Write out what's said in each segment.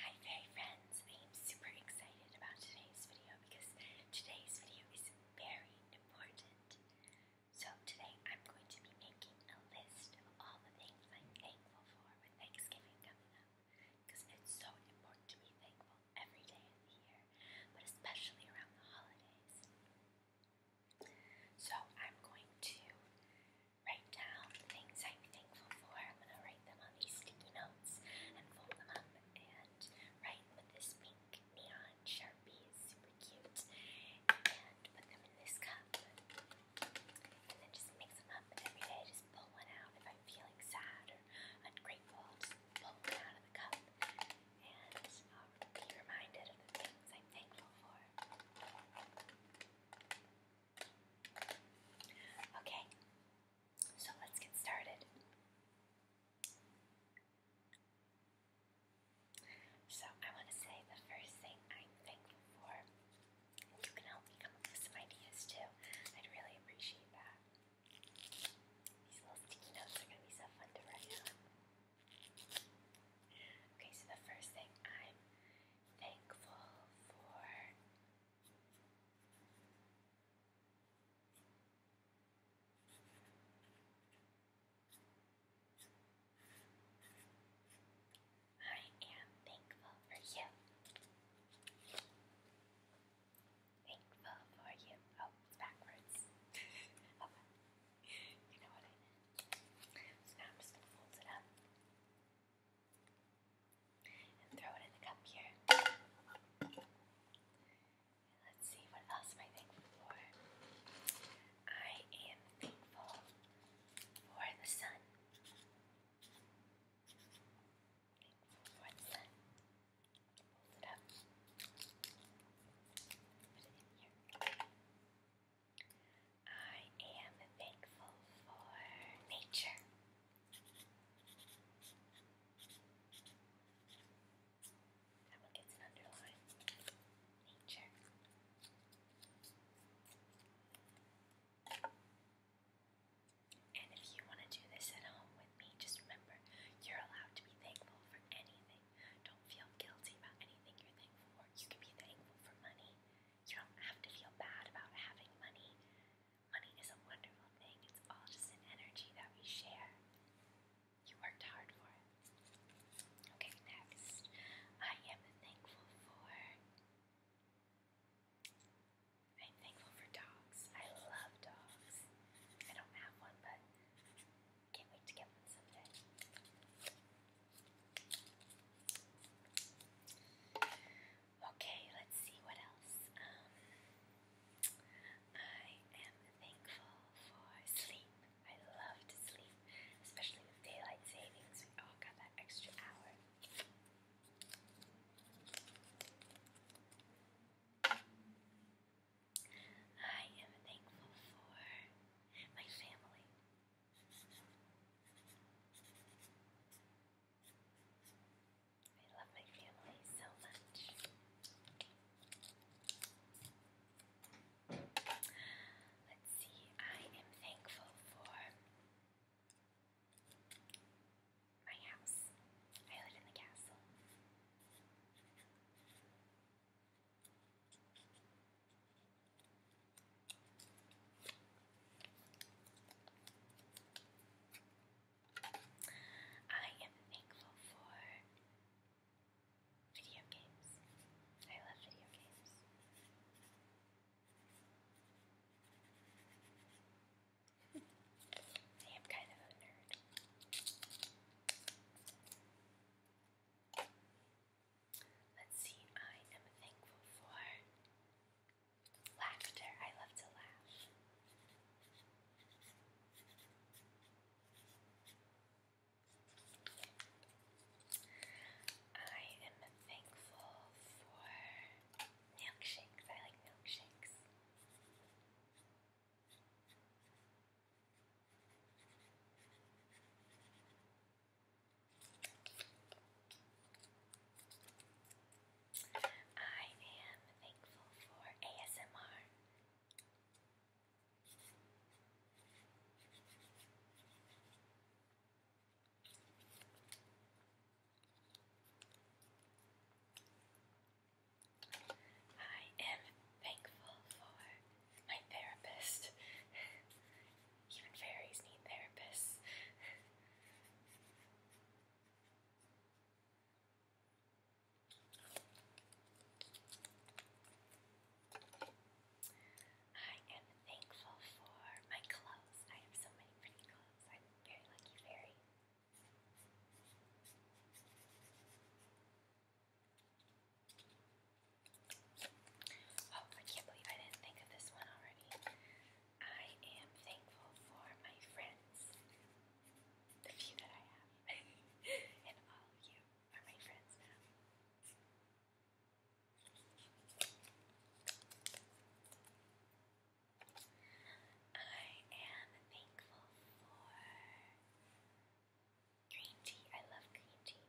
Hi fairy friends, I am super excited about today's video because today's video is very important. So today I'm going to be making a list of all the things I'm thankful for with Thanksgiving coming up because it's so important to be thankful every day of the year, but especially around the holidays. So I'm going to write down the things I'm thankful for. I'm going to write them on these sticky notes and fold them up and write with this pink neon sharpie. It's super cute. And put them in this cup. And then just mix them up every day. Just pull one out if I'm feeling sad or ungrateful. pull one out of the cup and um, be reminded of the things I'm thankful for. Okay, so let's get started. So, I want to say the first thing I'm thankful for, you can help me come up with some ideas too. I'd really appreciate that. These little sticky notes are going to be so fun to write on. Okay, so the first thing I'm thankful for I am thankful for you. Thankful for you. Oh, it's backwards. okay. Oh, you know what I So now I'm just gonna fold it up and throw it in the cup here. let's see, what else am I thankful for? I am thankful for the sun. Thankful sun. Hold it up. Put it in here. I am thankful for nature. That one gets an underline. Nature. And if you want to do this at home with me, just remember you're allowed to be thankful for anything. Don't feel guilty about anything you're thankful for. You can be thankful for money. You don't have to feel bad about having money. Money is a wonderful thing, it's all just an energy that we share. You worked hard for it. Okay, next. I am thankful for. I'm thankful for dogs. I love dogs. I don't have one, but can't wait to get one someday. Okay, let's see what else. Um, I am thankful for sleep. I love to sleep, especially with daylight savings. We all got that extra hour. I am thankful for my family. I love my family so much. Let's see, I am thankful for my house. I live in the castle. I am thankful for video games. I love video games. I am kind of a nerd. Let's see, I am thankful for Laughter, I love to laugh. I am thankful for milkshakes. I like milkshakes. I am thankful for ASMR. I am thankful for my therapist even fairies need therapists. I am thankful for my clothes. I have so many pretty clothes. I'm very lucky fairy. Oh, I can't believe I didn't think of this one already. I am thankful for my friends. The few that I have. and all of you are my friends I am thankful for green tea. I love green tea.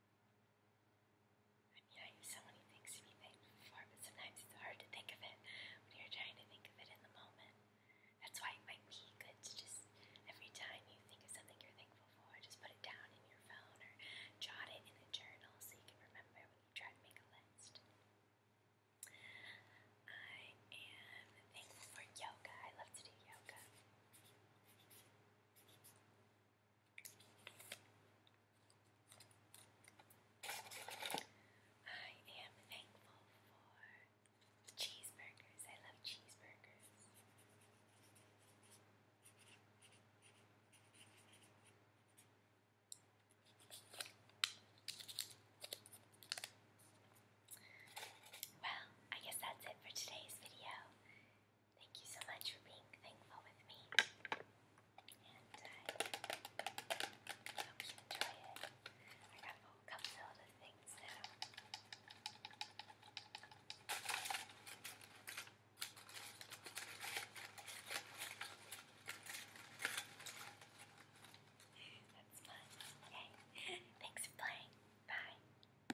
I mean, I have so many things to be thankful for, but sometimes it's hard to think of it when you're trying to think of it in the moment. That's why it might be good to just, every time you think of something you're thankful for, just put it down in your phone or jot it in a journal so you can remember when you try to make a list. I am thankful for yoga. I love to do yoga. I am thankful for cheeseburgers. I love cheeseburgers. Well, I guess that's it for today's video. Thank you so much for being thankful with me. hope you enjoy it. I got a whole cup things now. That's fun. Okay. Thanks for playing. Bye.